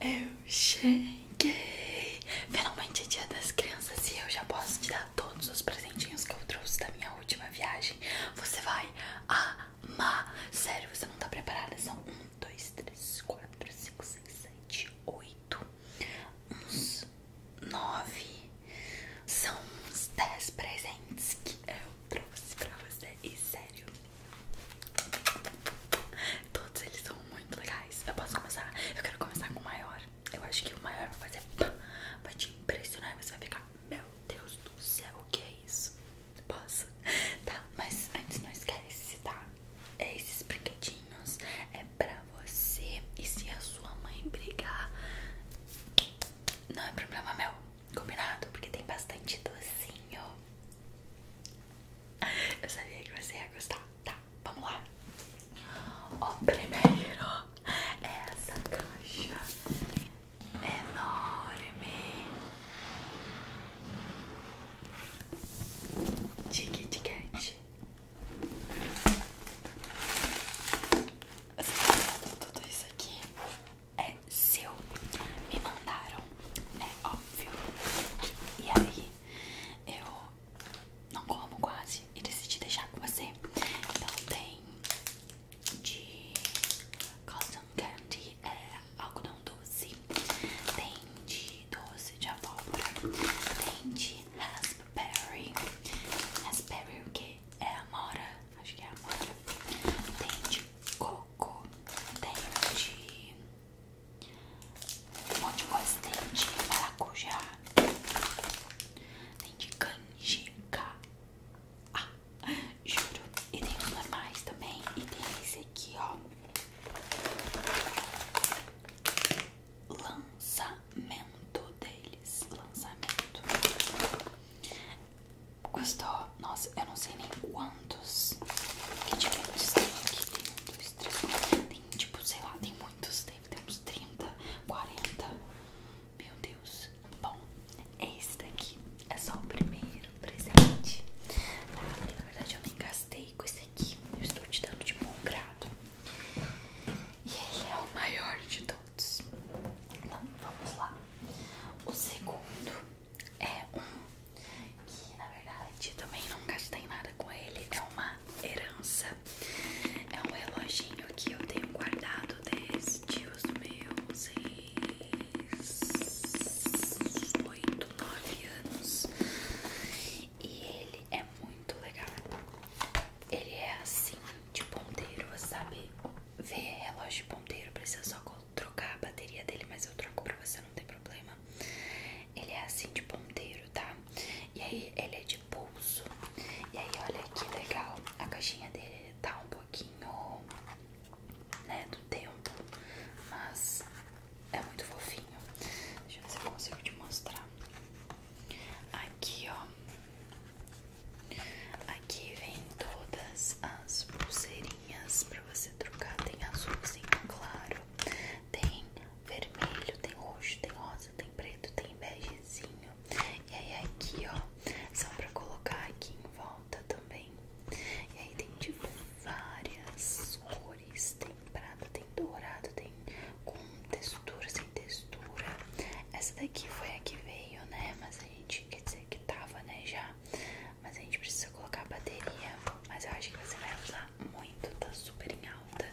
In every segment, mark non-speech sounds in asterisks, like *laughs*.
Eu cheguei! Finalmente é dia das crianças e eu já posso te dar todos os presentinhos que eu trouxe da minha última viagem. Você vai amar! Sério, você não tá preparada? São um, dois, três, quatro, cinco, seis, sete, oito, uns 9. São uns dez presentes que eu trouxe pra você. E sério, Todos eles são muito legais. Eu posso começar? Eu quero começar com o maior. Eu acho que o maior vai fazer vai te impressionar. Você vai ficar, meu Deus do céu, o que é isso? Posso? Tá, mas antes não esquece, tá? É esses brinquedinhos é pra você. E se a sua mãe brigar, não é problema meu. Combinado? Porque tem bastante docinho. Eu sabia que você ia gostar. Tá, vamos lá. O primeiro é essa caixa é enorme de Kit tudo isso aqui? é seu. Me mandaram, é óbvio. E aí, eu não como quase e decidi deixar com você. Então tem de cotton candy, é algodão doce. Tem de doce de abóbora. Tem de raspberry. Raspberry o que? É amora. Acho que é amora. Tem de coco tem de. Um monte de coisa. Tem de maracujá. Tem de canjica. Ah, juro. E tem os normais também. E tem esse aqui, ó. Lançamento deles. Lançamento. Gostou? Nossa, eu não sei nem quantos que tivemos. Tem aqui, tem um, dois, três, Tem tipo, sei lá, tem muitos. Deve ter uns 30, 40. Meu Deus. Bom, É esse daqui é só o primeiro presente. Ah, na verdade, eu nem gastei com esse aqui. Eu estou te dando de bom grado. E ele é o maior de todos. Então, vamos lá. O segundo é um que na verdade também não gastei nada com ele, é uma herança. É um reloginho que eu tenho guardado desde os meus 6, 8, 9 anos. E ele é muito legal. Ele é assim, de ponteiro, sabe? Ver relógio de ponteiro, precisa só colocar trocar a bateria dele, mas eu troco pra você, não tem problema. Ele é assim de ponteiro, tá? E aí ele é de pulso. E aí olha que legal, a caixinha dele tá um pouquinho, né, do tempo, mas é muito fofinho. Deixa eu ver se eu consigo te mostrar. Aqui, ó. Aqui vem todas as pulseirinhas para você trocar. Tem azulzinho claro, tem vermelho, tem roxo, tem rosa, tem preto, tem begezinho. E aí aqui, ó, são para colocar aqui em volta também. E aí tem de tipo, várias cores, tem prata, tem dourado, tem com textura, sem textura. Essa daqui foi a que veio, né? Mas a gente quer dizer que tava, né? Já mas a gente precisa colocar bateria. Mas eu acho que você vai usar muito, tá super em alta.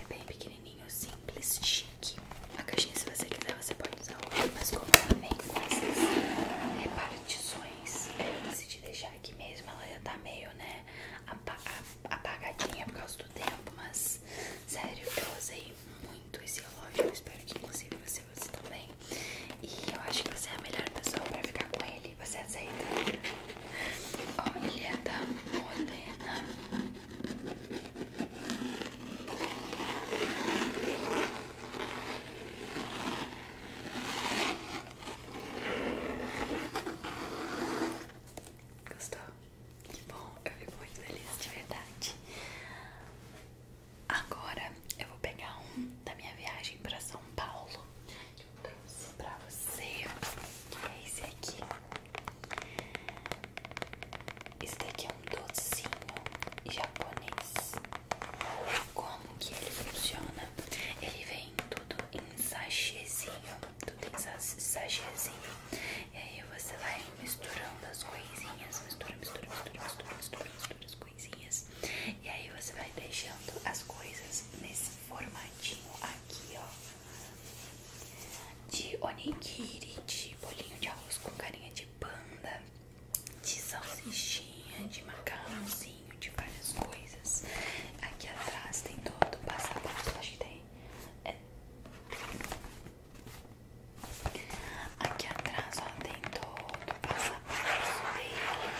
É bem pequenininho, simples, chique. A caixinha, se você quiser, você pode usar mas como ela vem com essas repartições, eu te deixar aqui mesmo, ela já tá meio, né, apagadinha por causa do tempo. Mas, sério, eu usei muito esse relógio. Eu espero que, consiga você você também. E eu acho que você é a melhor pessoa pra ficar com ele. Você aceita? Olha, tá morena. Gostou? Que bom, eu fico muito feliz de verdade. Agora eu vou pegar um da minha viagem para São Paulo que eu trouxe pra você. é esse aqui. Esse aqui é um docinho japonês. Como que ele funciona? Ele vem tudo em sachêzinho. Tudo em sachêzinho. E aí você vai misturando as coisinhas, mistura, mistura, mistura, mistura, mistura, mistura as coisinhas. E aí você vai deixando as coisas nesse formatinho aqui, ó. De onigiri, de bolinho de arroz com carinha de panda, de salsichinha, de macarrãozinho, de várias coisas. Aqui atrás tem todo o passo a passo, tem. É Aqui atrás tem todo o passo a passo dele.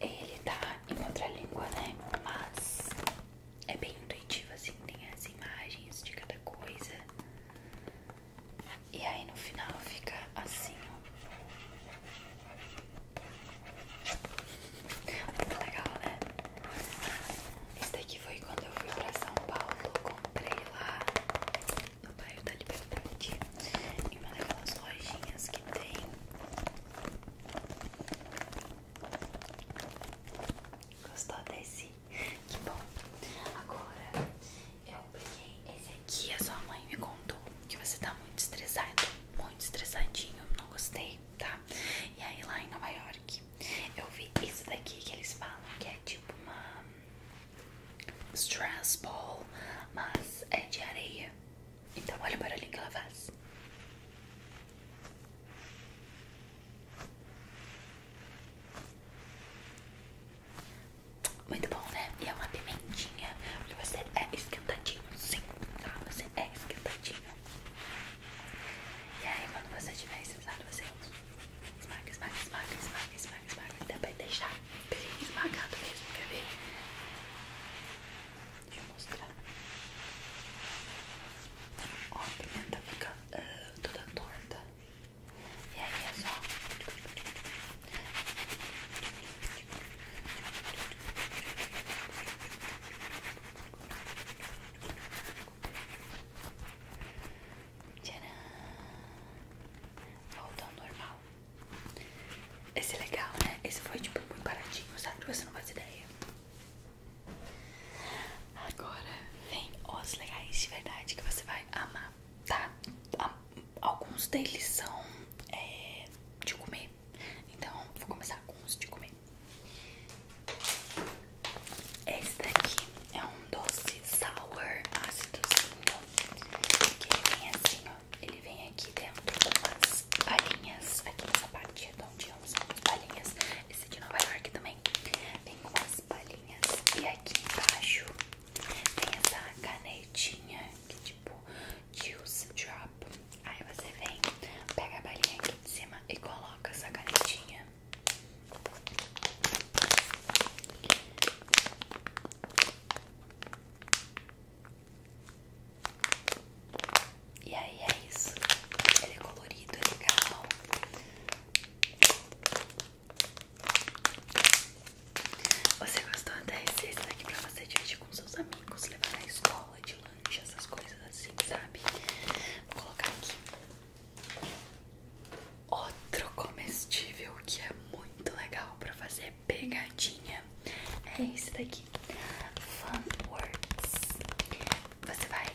Ele tá em outra língua, né? Mas é bem intuitivo assim, tem as imagens de cada coisa. E aí no final fica assim, ó. Muito legal, né? Esse daqui foi quando eu fui pra São Paulo. Comprei lá no bairro da Liberdade. e uma daquelas lojinhas que tem. Gostou desse? Que bom. Agora eu peguei esse aqui. A sua mãe me contou que você tá muito estressado, muito estressadinho. Não gostei, tá? E aí lá em Nova York eu vi isso daqui que eles falam que é tipo uma stress ball, mas é de areia. Então olha o barulhinho que ela faz. Muito bom, né? E é uma pimentinha, porque você é esquentadinho, sim, tá? Você é esquentadinho. E aí, quando você tiver esse você esmaga, esmaga, esmaga, esmaga, esmaga, esmaga, até vai deixar bem esmagado mesmo, quer ver? Deixa eu mostrar. Ó, a pimenta fica uh, toda torta. E aí é só. Tcharam! Voltou ao normal. Esse é legal, né? Esse foi tipo muito baratinho, sabe? Você não faz ideia. Agora vem os legais de verdade que você vai amar, tá? Alguns deles são é, de comer. Então, vou começar com os de comer. Esse daqui é um doce sour ácidozinho. Que ele vem assim, ó. Ele vem aqui dentro com umas palhinhas. Aqui nessa parte redondinha, é umas palhinhas. Esse de Nova York também. Vem com umas palhinhas. E aqui embaixo tem essa canetinha que tipo Juice Drop. Aí você vem, pega a balinha aqui de cima e coloca essa canetinha. E aí é isso. Ele é colorido, é legal. Você gostou desse? Esse daqui pra você dividir com seus amigos, levar na escola de lanche, essas coisas assim, sabe? Vou colocar aqui. Outro comestível que é muito legal pra fazer pegadinha é esse daqui. Fun Words. Você vai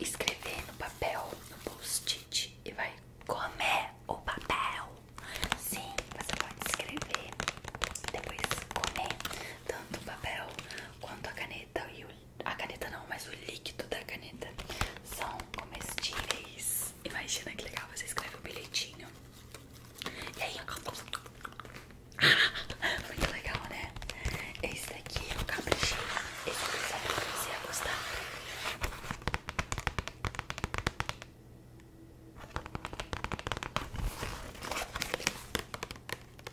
escrever no papel, no post-it e vai comer o papel. Sim, você pode escrever, depois comer tanto o papel quanto a caneta e a caneta não, mas o líquido da caneta são comestíveis. Imagina que legal, você escreve o bilhetinho. E aí, *laughs* muito legal, né? Esse daqui eu é caprichei. Esse daqui eu é sabia que você ia gostar.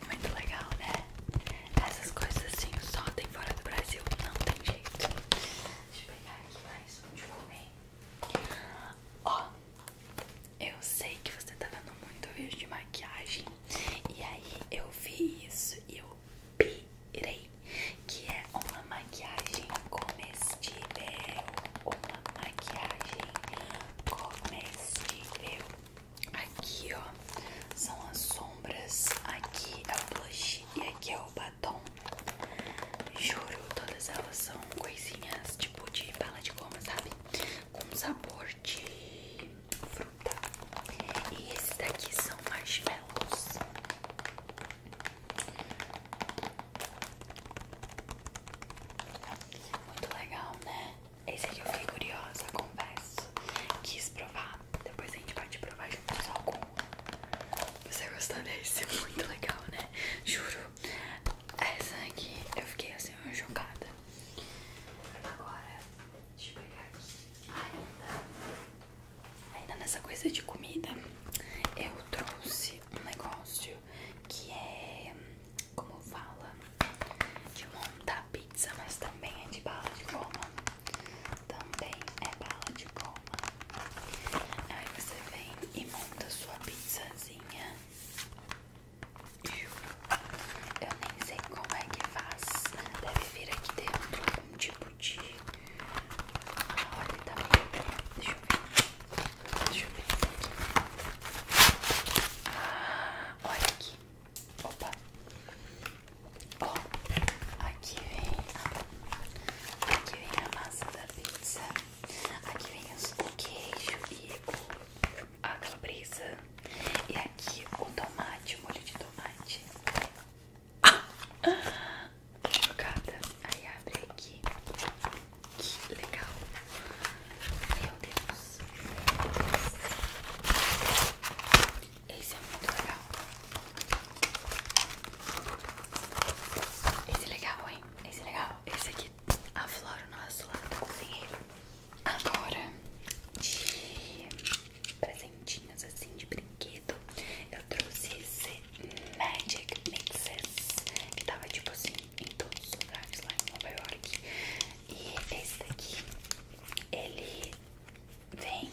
Muito legal, né? Essas coisas assim só tem fora do Brasil, não tem jeito. Deixa eu pegar aqui mais um de comer. Ó, eu sei que você tá vendo muito vídeo de maquiagem. E aí eu vi isso e eu pirei. Que é uma maquiagem comestível. Uma maquiagem eu Aqui, ó, são as sombras. Aqui é o blush e aqui é o batom. Juro, todas elas são coisinhas tipo de bala de goma, sabe? Com sabor de fruta. E esses daqui são marshmallows. Muito legal, né? Esse aqui eu fiquei curiosa, confesso. Quis provar. Depois a gente pode provar juntos algum. Você gostou desse? *laughs* Muito legal, né? Juro. Essa aqui eu fiquei assim, uma jogada Agora, deixa eu pegar aqui. ainda nessa coisa de comida, eu trouxe um negócio que é como fala de montar pizza, mas também é de bala de goma. Também é bala de goma. Aí você vem e monta sua pizzazinha. Eu nem sei como é que faz. Deve vir aqui dentro algum tipo de. Olha, tá meio. Deixa Deixa eu ver aqui. Ah, olha aqui. Opa. Ó, aqui vem a, massa da pizza, aqui vem o queijo e a calabresa, e aqui o tomate, o molho de tomate. Ah! Chocada. Aí abre aqui. Que legal. Meu Deus. Esse é muito legal. Esse é legal, hein? Esse é legal. Esse aqui aflora o nosso lado tá cozinheiro. Agora, de presentinhos assim de brinquedo, eu trouxe esse Magic Mixes, que tava tipo assim em todos os lugares lá em Nova York. E esse daqui, ele vem,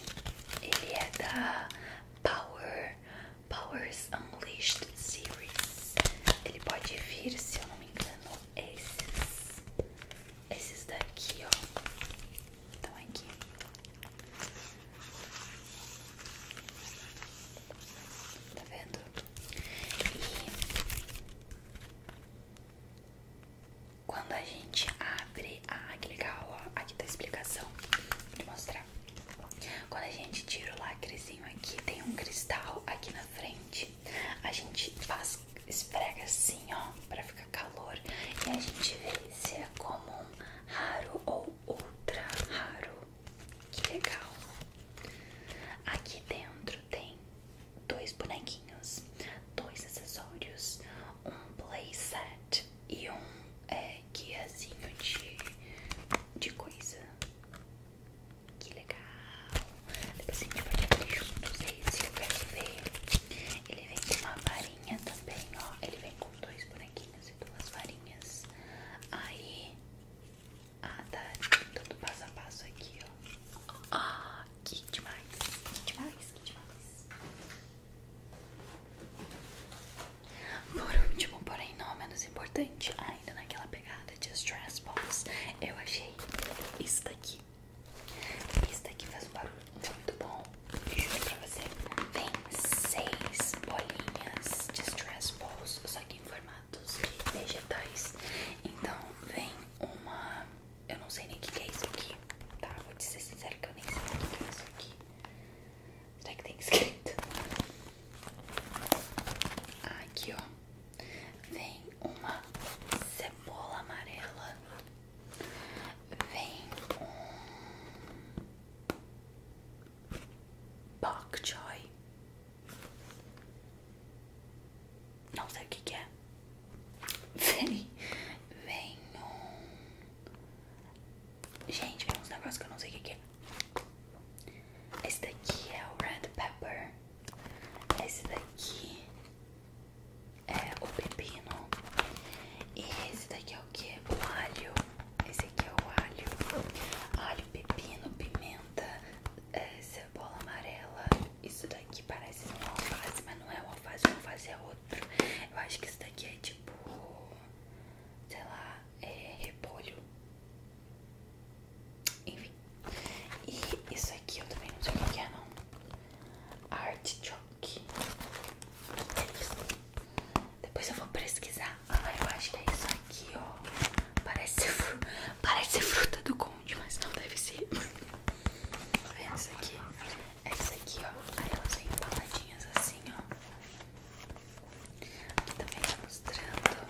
ele é da Power, Powers Unleashed Series. Ele pode vir, se eu não me engano, esses, esses daqui, ó. Então aqui. Tá vendo? E quando a gente abre. Ah, que legal! aqui tá a explicação. Vou te mostrar. Quando a gente tira o lacrezinho aqui, tem um cristal aqui na frente. A gente faz, esfrega assim, ó, pra ficar calor. E a gente vê se é comum, raro ou ultra raro. Que legal! Aqui dentro tem dois bonequinhos, dois acessórios, um playset e um é, guiazinho de, de coisa. Que legal! Depois a gente pode ver juntos esse, eu quero ver. Ele vem com uma varinha também, ó. Ele vem com dois bonequinhos e duas varinhas. Aí ah, tá. Tudo passo a passo aqui, ó. Ah, que demais. Que demais, que demais. Por último, porém não menos importante, ainda naquela pegada de stress balls, eu achei isso daqui. Isso daqui faz um barulho muito bom. Juro pra você. Vem, seis bolinhas de stress balls, só que em formatos vegetais. Então vem uma. Eu não sei nem o que, é isso aqui, tá? Vou te ser sincero que eu nem sei o que, que é isso aqui. Será que tem escrito? Aqui ó, vem uma cebola amarela, vem um Bok choy. Não sei o que, é. Vem, vem um... Gente, vem uns negócios que eu não sei o que, que é. Esse daqui é o red pepper. Esse daqui é o pepino. E esse daqui é o que? O alho. Esse aqui é o alho, alho, pepino, pimenta, é, cebola amarela. Isso daqui parece um alface, mas não é um alface, um alface é outro. Eu acho que isso daqui é tipo, sei lá, é repolho. Enfim. E isso aqui eu também não sei o que é não. Artichoke. É depois eu vou pesquisar. Ah, eu acho que é isso aqui, ó. Parece Parece ser fruta do conde, mas não deve ser. É isso aqui. É isso aqui, ó. Aí elas vêm embaladinhas assim, ó. Aqui também tá mostrando.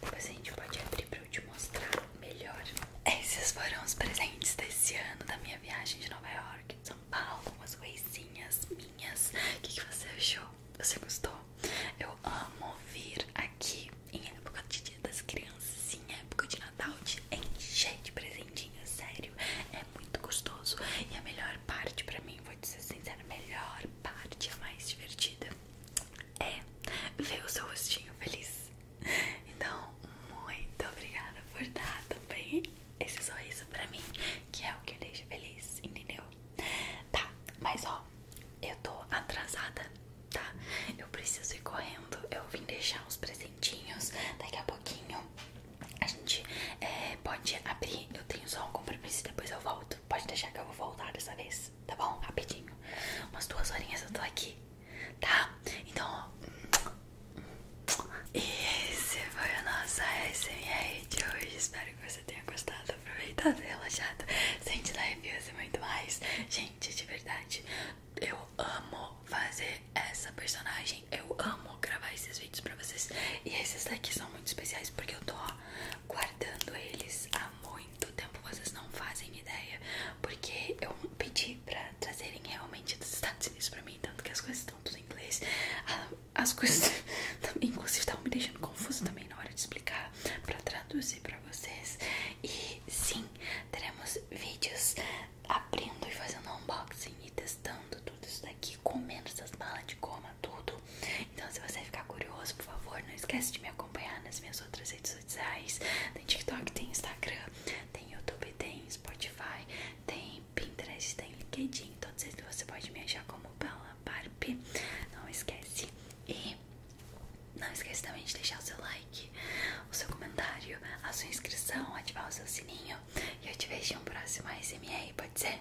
Depois a gente pode abrir pra eu te mostrar melhor. Esses foram os presentes desse ano da minha viagem de Nova York. São Paulo, umas coisinhas minhas. O que, você achou? Você gostou? Eu amo vir aqui em época de dia das crianças, em época de Natal, de encher de presentinhos, sério. É muito gostoso. E a melhor parte pra mim, vou te ser sincera, a melhor parte, a mais divertida, é ver o seu rostinho feliz. Então, muito obrigada por estar também esse sorriso pra mim, que é o que eu deixo feliz, entendeu? Tá, mas ó, eu tô atrasada, tá? Eu preciso ir correndo, eu vim deixar uns presentinhos, daqui a pouquinho a gente é, pode abrir, eu tenho só um compromisso e depois eu volto. Pode deixar que eu vou voltar dessa vez, tá bom? Rapidinho. Umas duas horinhas eu tô aqui, tá? Então, ó, e esse foi o nosso ASMR de hoje. Espero que você tenha gostado, aproveitado, relaxado, sentido arrepios e muito mais. Gente, de verdade, eu amo fazer essa personagem. Eu amo gravar esses vídeos pra vocês. E esses daqui são muito especiais porque eu tô guardando eles há muito tempo. Vocês não fazem ideia. Porque eu pedi pra trazerem realmente dos Estados Unidos pra mim, tanto que as coisas estão tudo em inglês. Ah, as coisas *laughs* inclusive, estavam me deixando confuso também na hora de explicar pra traduzir pra vocês. E sim, teremos vídeos abrindo e fazendo unboxing e testando tudo isso daqui, comendo essas balas de goma, tudo. Então, se você ficar curioso, por favor, não esquece de me acompanhar nas minhas outras redes sociais. Tem TikTok, tem Instagram, tem YouTube, tem Spotify, tem Pinterest, tem LinkedIn, todos então, eles você pode me achar como Paula Barpe. Não esquece. E não esquece também de deixar o seu like, o seu comentário, a sua inscrição, ativar o seu sininho. E eu te vejo em um próximo ASMR, pode ser?